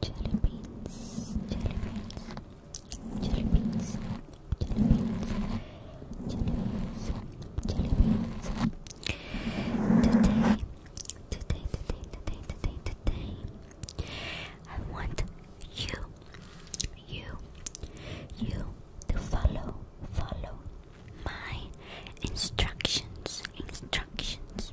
jelly beans, jelly beans, jelly beans, jelly beans, jelly beans, jelly beans. Today, today, today, today, today, today, I want you, you, you to follow, follow my instructions, instructions.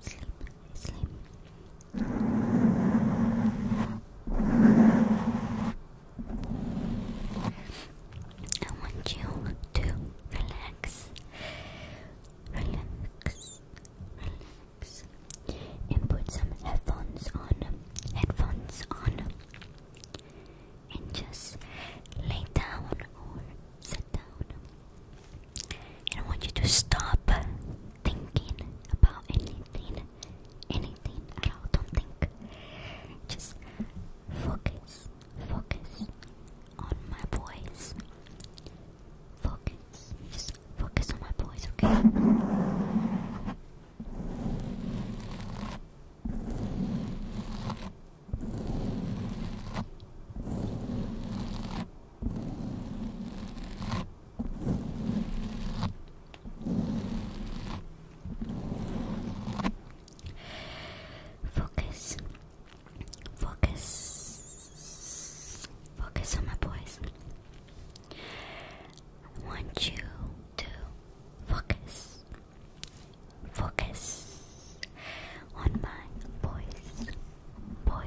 sleep, sleep. I want you to relax, relax, relax, and put some headphones on, headphones on, and just lay down or sit down. I want you to stop thinking about anything, anything at all. Don't think. Just focus, focus on my voice. Focus, just focus on my voice, okay? Focus. Focus. Focus on my boys. want you to focus. Focus on my voice boys,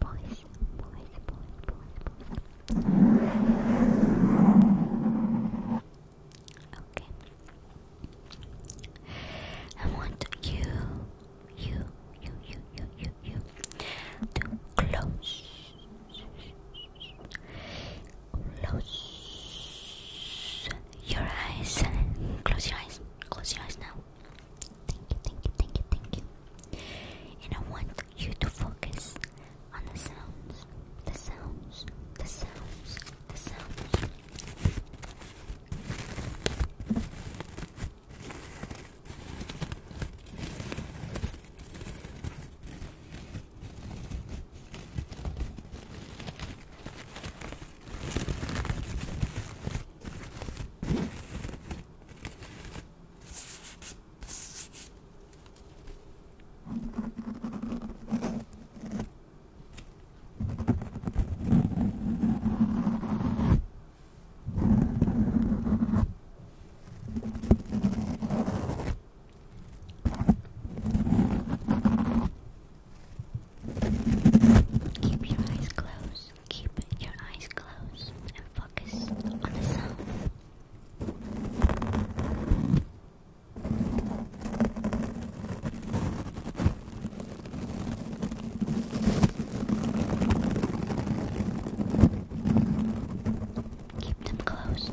boys, boys, boys, boys, boys. Okay. I want you, you, you, you, you, you, you to close, close your eyes. Close your eyes. Close your eyes now. Thank you, thank you, thank you, thank you. And I want you to focus on the sounds, the sounds, the sounds, the sounds. Keep your eyes closed. Keep your eyes closed and focus on the sound. Keep them closed.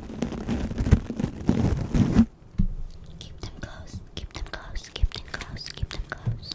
Keep them close, keep them close, keep them close, keep them close.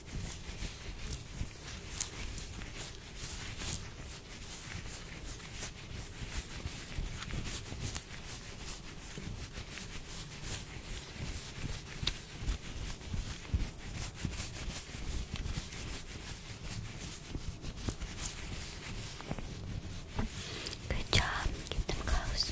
Good job. Get them close.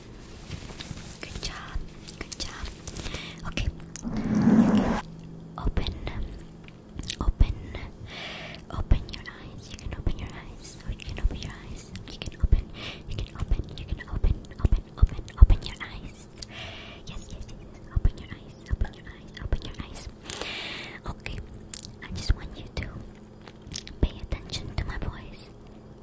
Good job. Good job. Okay. Open. Open. Open your eyes. You can open your eyes. you can open your eyes. You can open. You can open. You can open. Open. Open. Open your eyes. Yes, yes, yes. Open your eyes. Open your eyes. Open your eyes. Okay. I just want you to pay attention to my voice.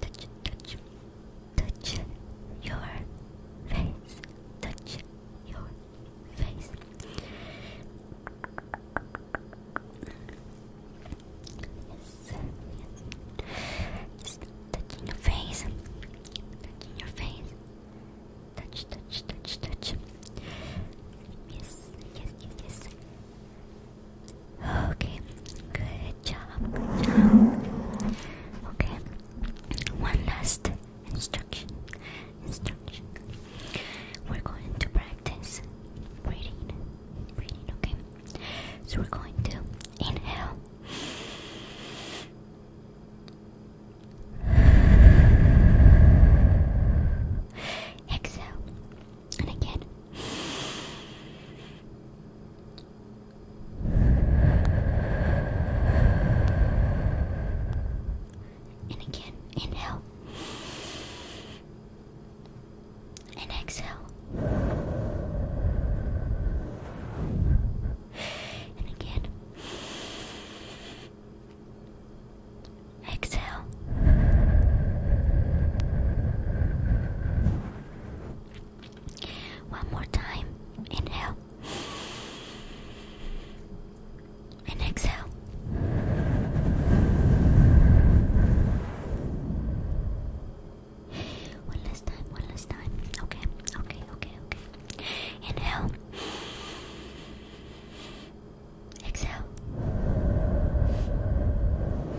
touch, touch, touch your face, touch your face. Yes, Just touching your face, touching your face. Touch, touch, touch, touch. Yes, yes, yes, yes. Okay, good job, Okay, one last instruction. Instruction. We're going to practice breathing. Breathing, okay? So we're going to inhale. Exhale and again. And again, inhale. And exhale. And again. Exhale. One more time. Inhale. And exhale. One last time, one last time. Okay, okay, okay, okay. Inhale. Exhale.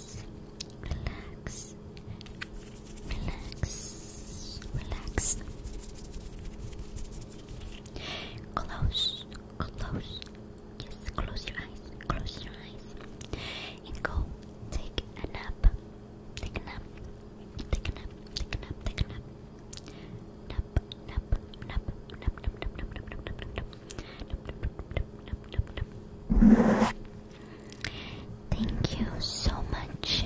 relax, relax, relax. Close, close. Yes, close your eyes, close your eyes, and go take a nap. Take a nap. Take a nap. Take a nap. Take a nap. Nap, nap, nap, nap, nap, nap, nap, nap, nap, nap, nap. Thank you so much.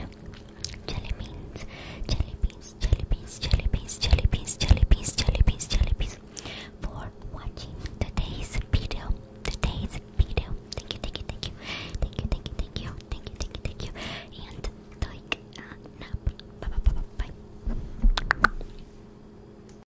Jelly beans, jelly beans, jelly beans, jelly beans, jelly beans, jelly beans, jelly beans, jelly beans, for watching today's video. Today's video. Thank you, thank you, thank you, thank you, thank you, thank you, thank you, thank you, thank you, and like, uh, nap. Bye, bye, bye, bye, bye.